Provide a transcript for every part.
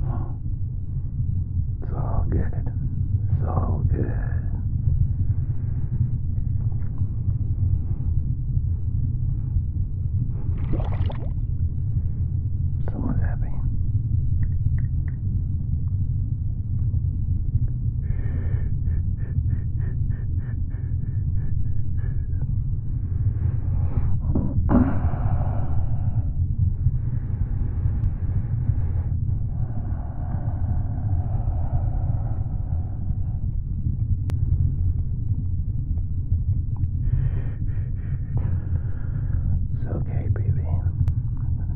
Oh. It's all good. It's all good. Someone's happy. It's okay, baby.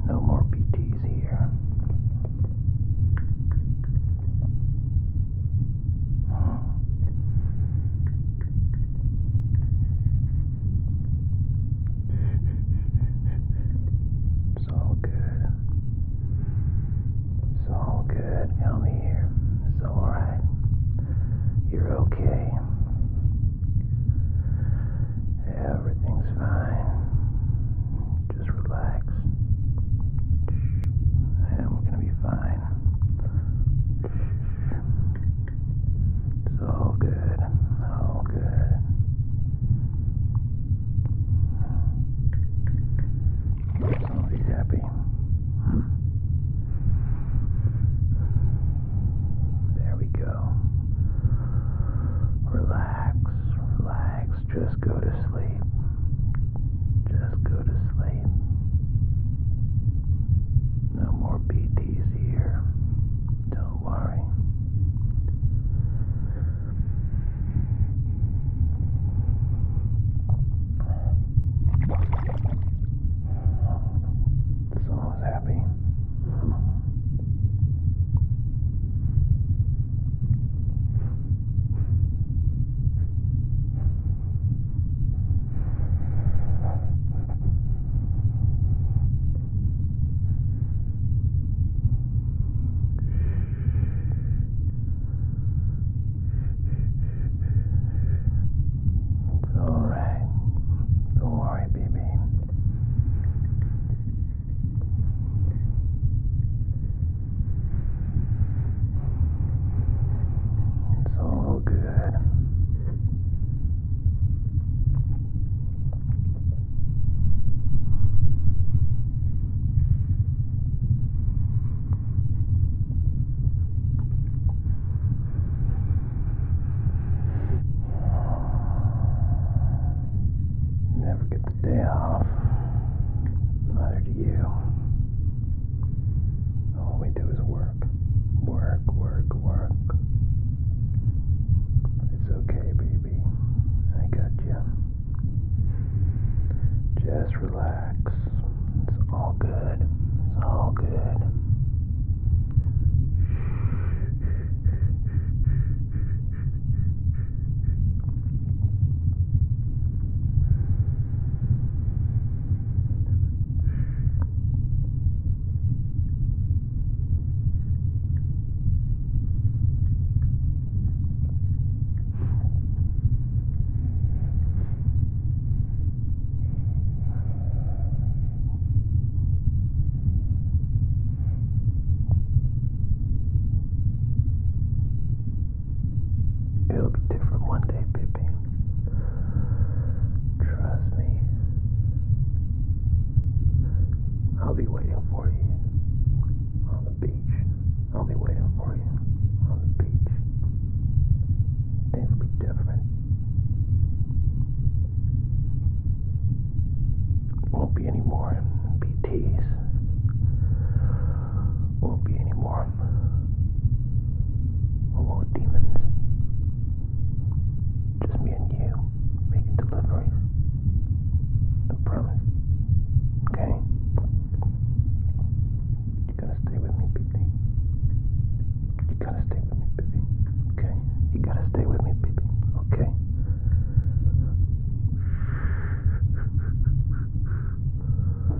No more PTs here. It's all good. It's all good. Help here. It's alright. You're okay. Everything's fine. Just relax. And we're going to be fine. It's all good, all good. he's happy. There we go. Relax, relax. Just go to sleep. Just go to sleep family. No more BTs here. Don't worry. Someone's happy. It's all right. Don't worry, baby. It's all good. Never get the day off. Neither do you. All we do is work, work, work, work. It's okay, baby. I got you. Just relax. It's all good. It's all good. It'll be different one day, Pippi. Trust me. I'll be waiting for you on the beach. I'll be waiting for you on the beach. Things will be different. Won't be any more BTs. Won't be any more home. Oh, demons. Just me and you making deliveries. I promise. Okay? You gotta stay with me, baby. You gotta stay with me, baby. Okay? You gotta stay with me, baby. Okay?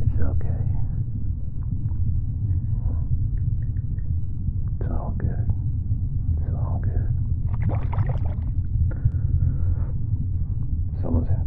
It's okay. It's all good. It's all good. Someone's happy.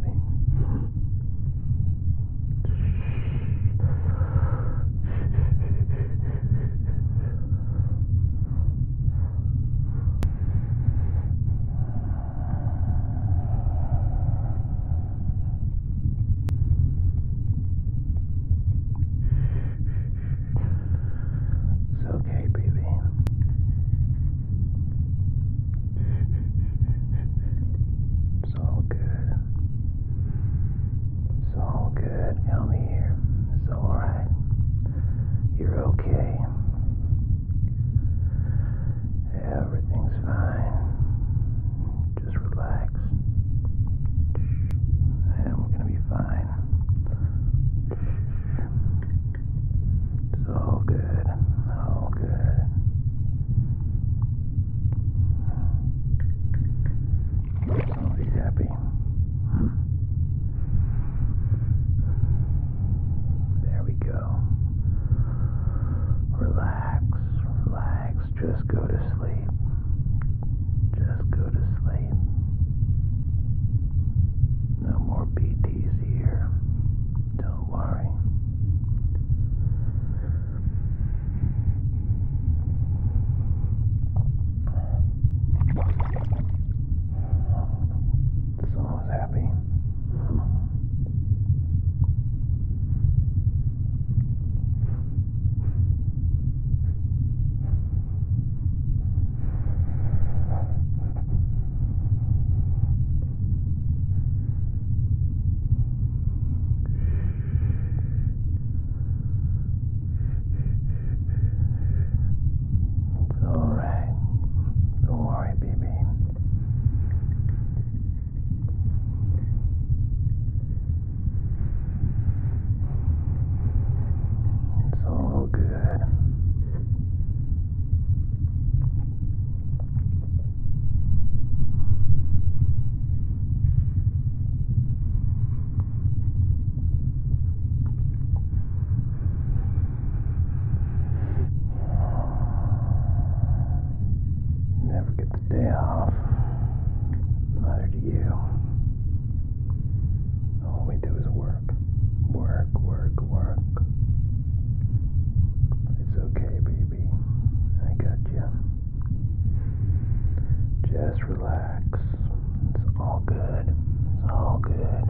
It's okay, baby. It's all good. It's all good. Come here. It's alright. You're okay. Everything's fine. Just relax. And we going to be fine. It's all good. All good. he's happy. There we go. Relax, relax, just go to sleep. Just go to sleep. No more BTs here. Don't worry. Someone's happy. It's all right. Don't worry, baby. It's all good. Never get day off. Neither do you. All we do is work. Work, work, work. It's okay, baby. I got you. Just relax. It's all good. It's all good.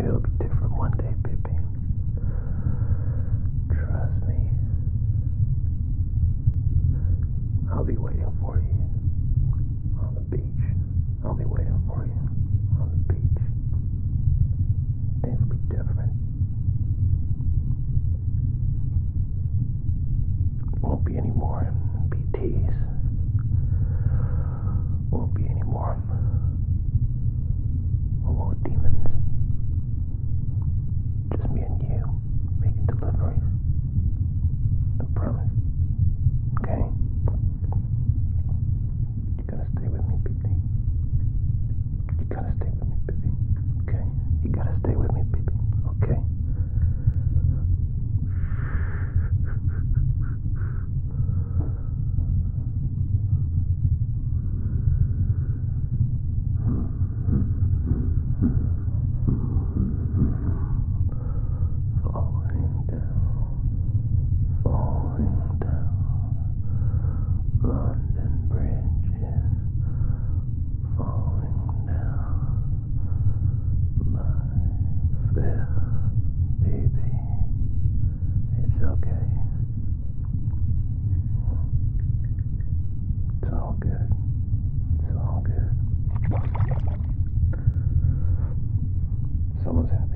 It'll be different one day, Pippi. Trust me. I'll be waiting for you on the beach. I'll be waiting for you on the beach. Things will be different. Won't be any more BTs. Won't be any more homo demons. Just me and you making deliveries. I promise. Okay? You gotta stay with me, baby. You gotta stay with me, baby. Okay? You gotta stay with me, baby. Okay? Falling down, falling down. London Bridge is falling down my fair baby. It's okay. It's all good. It's all good. Someone's happy.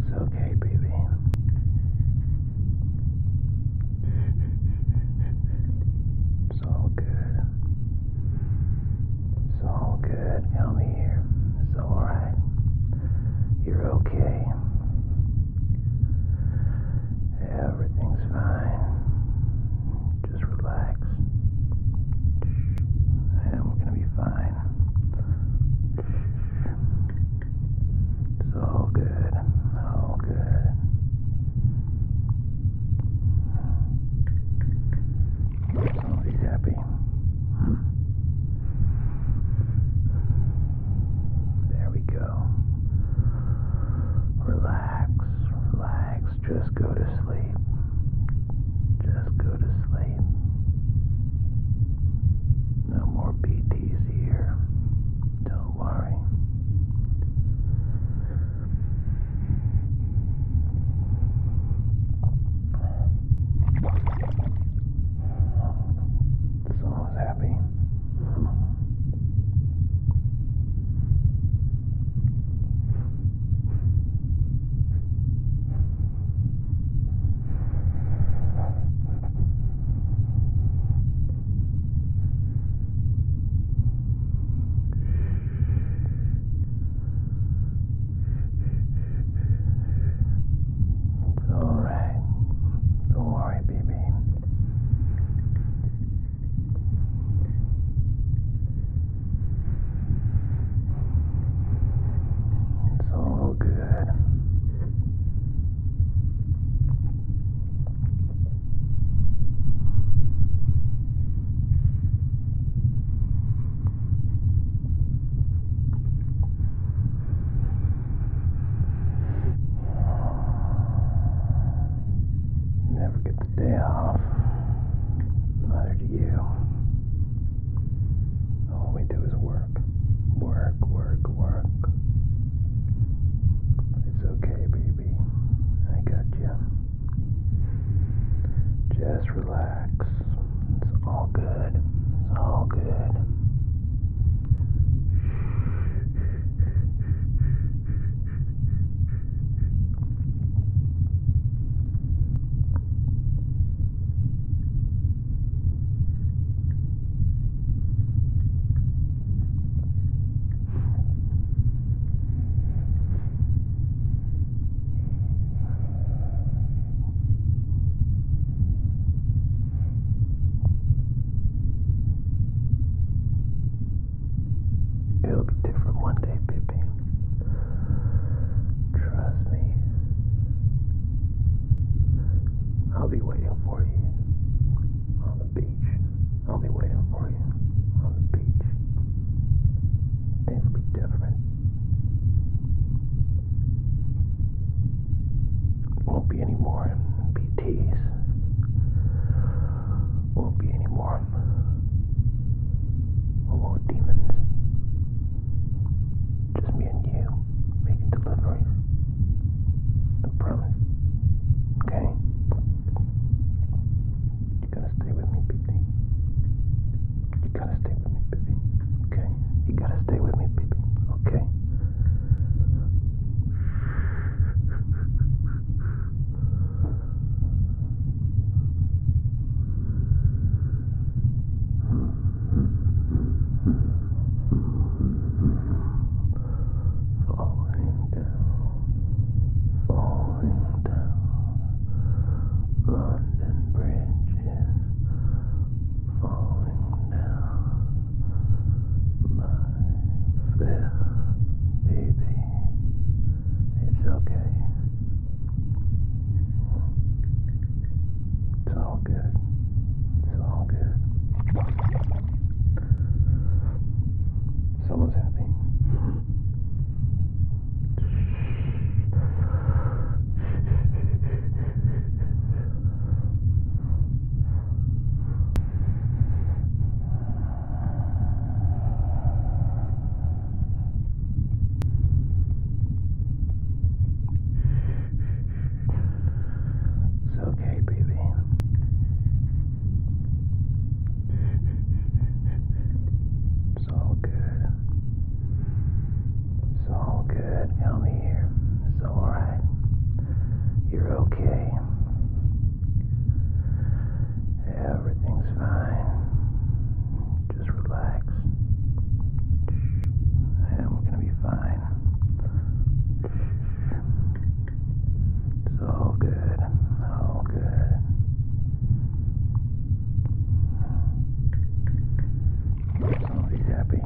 It's okay, baby. It's all good. It's all good. Help here all right. You're okay. Everything's fine. Just relax. And we're going to be fine. It's all good. All good. All happy there we go. Relax, relax. Just go to sleep. Just go to sleep. No more BTs here. Don't worry. Someone's happy. It's alright. Don't worry, baby. It's all good. Never get the day off. Neither do you. All we do is work. Work, work, work. It's okay, baby. I got you. Just relax. It's all good. It's all good. It'll be different one day, Pippi. Trust me. I'll be waiting for you on the beach. I'll be waiting for you on the beach. Things will be different. Won't be any more BTs. Won't be any more homo demons. Just me and you making deliveries. I promise. Okay? You gotta stay with me, Big D. You gotta stay with me, baby. Okay? You gotta stay with me, baby. Okay? Falling down, falling down. London Bridge is falling down. My fair baby, it's okay. It's all good. It's all good. Someone's happy. It's okay, baby. It's all good. It's all good. Help here. It's alright. You're okay. Everything's fine. Just relax. And we're gonna be fine. It's all good. All good. i happy.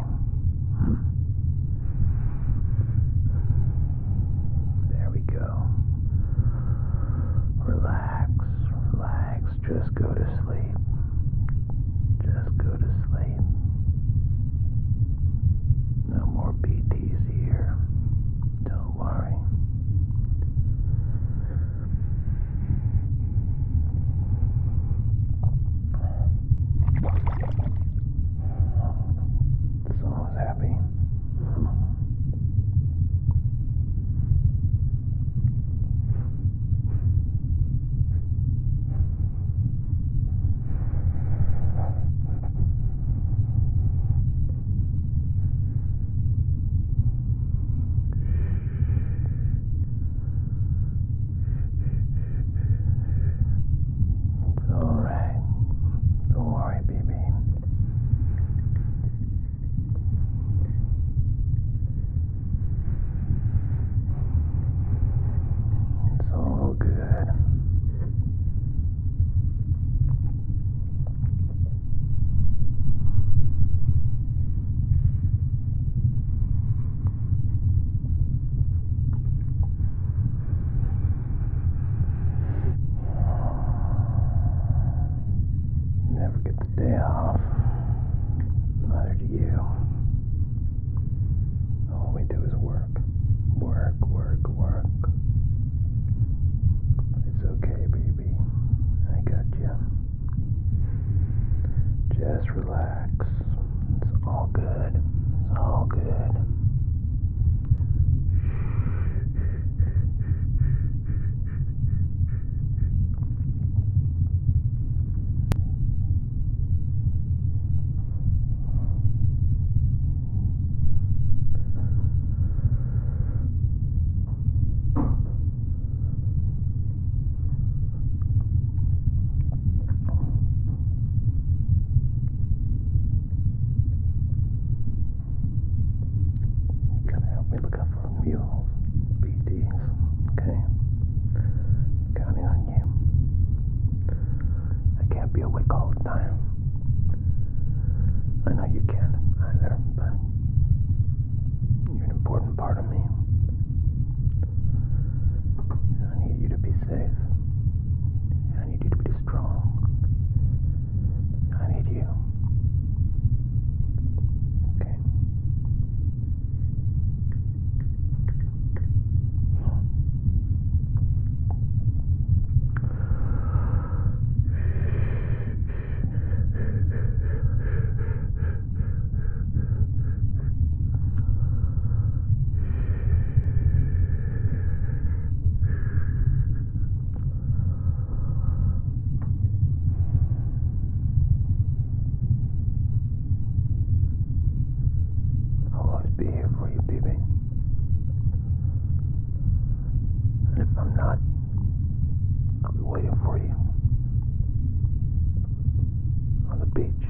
There we go. Relax, relax. Just go to sleep. Just go to sleep. No more BTs here. Don't worry. This one was happy. It's alright. Don't worry, baby. It's all good. Never get the day off. Neither do you. All we do is work. Work, work, work. It's okay, baby. I got you. Just relax. It's all good. It's all good. Just relax. Gotta help me look out for mules, BDs, okay? Counting on you. I can't be awake all the time. I know you can't either, but you're an important part of me. I need you to be safe. I need you to be strong. I need you. Okay. I'll always be here for you, baby. And if I'm not, I'll be waiting for you on the beach.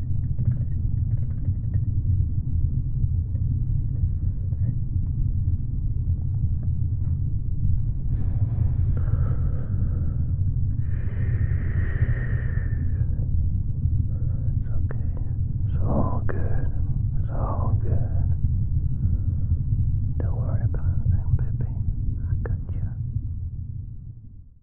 It's okay. It's all good. It's all good. Don't worry about anything, baby. I got you.